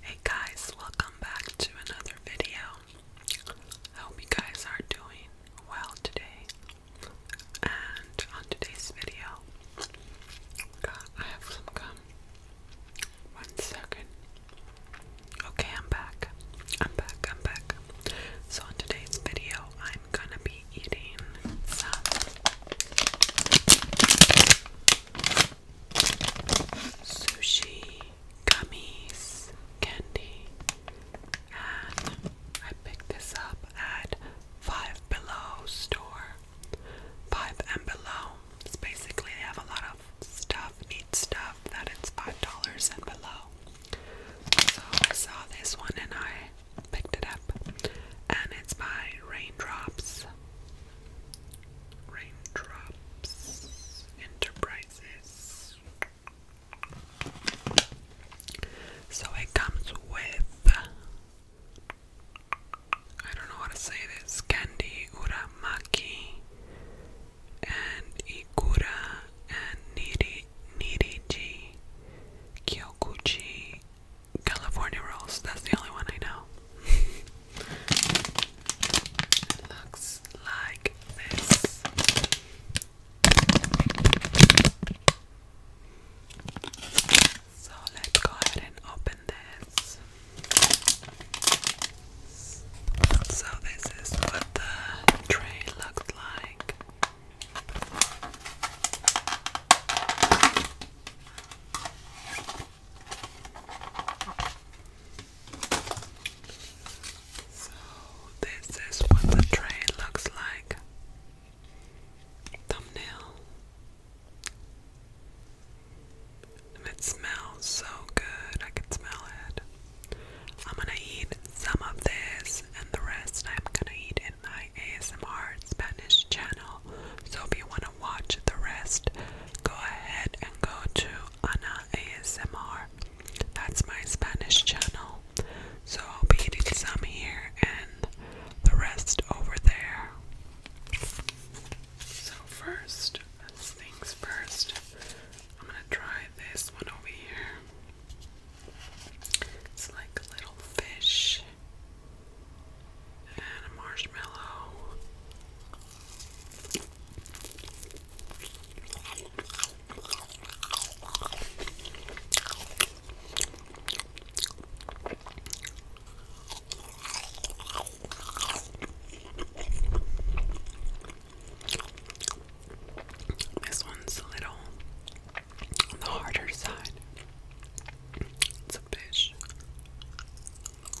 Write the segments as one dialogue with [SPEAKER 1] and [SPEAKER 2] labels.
[SPEAKER 1] Hey guys, welcome back to another video. I hope you guys are doing well today. And on today's video, I have some gum. One second. Okay, I'm back. I'm back, I'm back. So, in today's video, I'm gonna be eating some sushi, gummies, candy, and I picked this up at Five Below store. Five and Below. It's basically they have a lot of stuff, neat stuff that it's five dollars and below. So I saw this one and I picked it up, and it's by Raindrops. Raindrops Enterprises. So it comes with I don't know how to say this candy, uramaki, and ikura, and niri, niriji, kyokuchi, California rolls. That's the only one I know. looks like this. So let's go ahead and open this. So this is what the tray looked like. So, this is what the tray looks like. Thumbnail. it smells so good, I can smell it. I'm gonna eat some of this, and the rest I'm gonna eat in my ASMR Spanish channel. So, if you want to watch the rest, go ahead and go to Ana ASMR. That's my Spanish channel. So I'll be eating some here and the rest over there. So first, things first, I'm gonna try this one over here. It's like a little fish and a marshmallow. This one's a little on the harder side. It's a fish.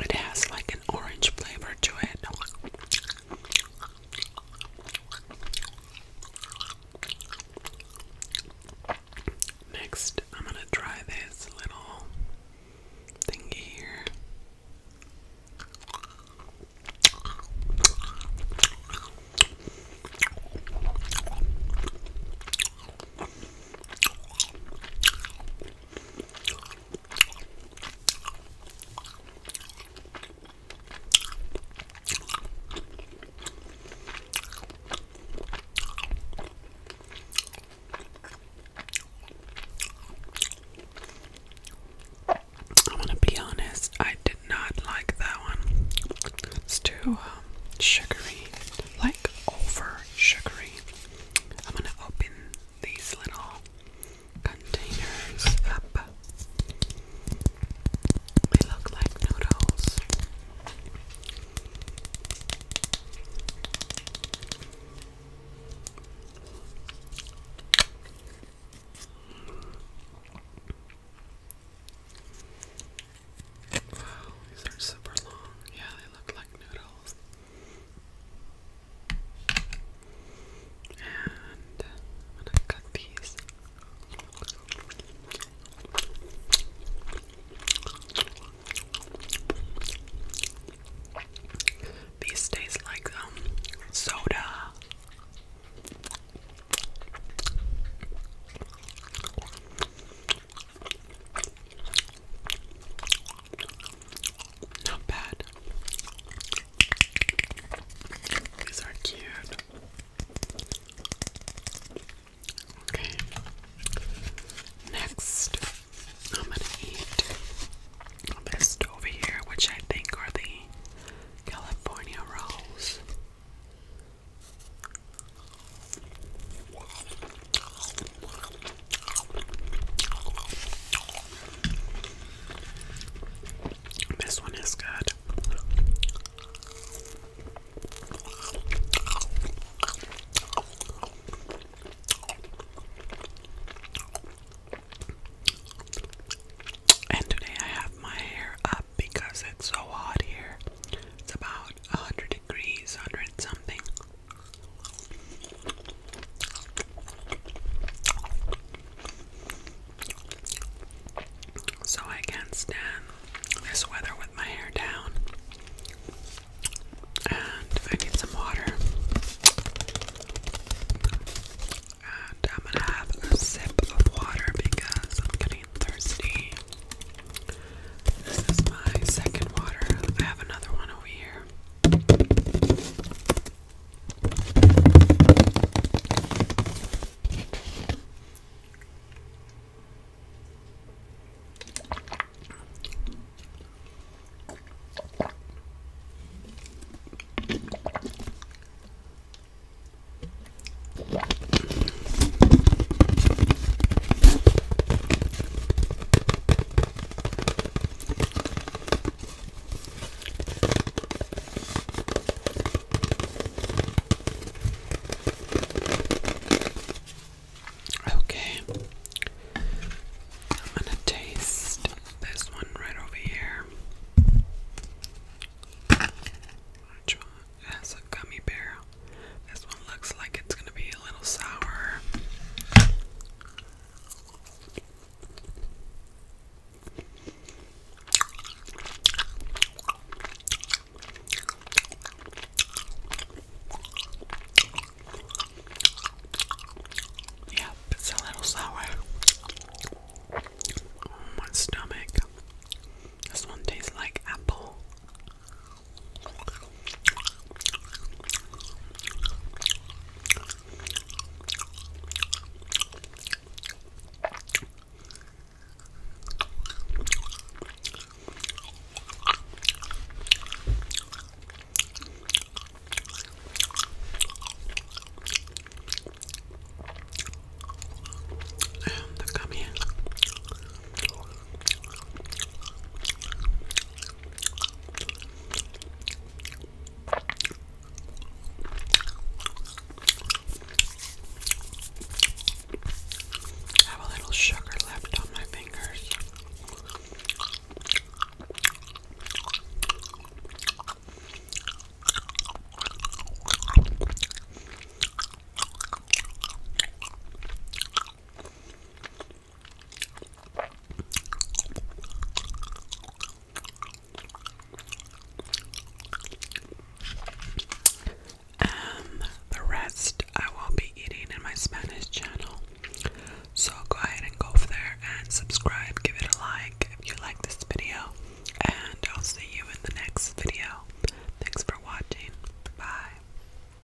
[SPEAKER 1] It has like an orange flavor to it. Next, I'm going to try this little thingy here. I'm gonna be honest, I did not like that one. It's too um, sugary, like over sugary. I'm going to open these little containers up. They look like noodles. Wow, these are super long. Yeah, they look like noodles. And I'm gonna cut these. These taste like um soda. Not bad. These are cute. Okay. Next, I'm gonna eat this over here, which I think are the California rolls. This one is good. And today I have my hair up because it's so hot here. It's about 100 degrees, 100 something. So I can't stand this weather with my hair down. And I need some water. And I'm gonna have a sip of water because I'm getting thirsty. This is my second water. I have another one over here. Okay, I'm gonna taste this one right over here. Which one has a gummy bear? This one looks like it's gonna be a little sour. Yeah, it's a little sour. Oh, my stomach. This one tastes like apple. The gummy. I have a little sugar left on my fingers. Um, the rest I will be eating in my Spanish channel. So go ahead and go over there and subscribe, give it a like if you like this video, and I'll see you in the next video. Thanks for watching. Bye.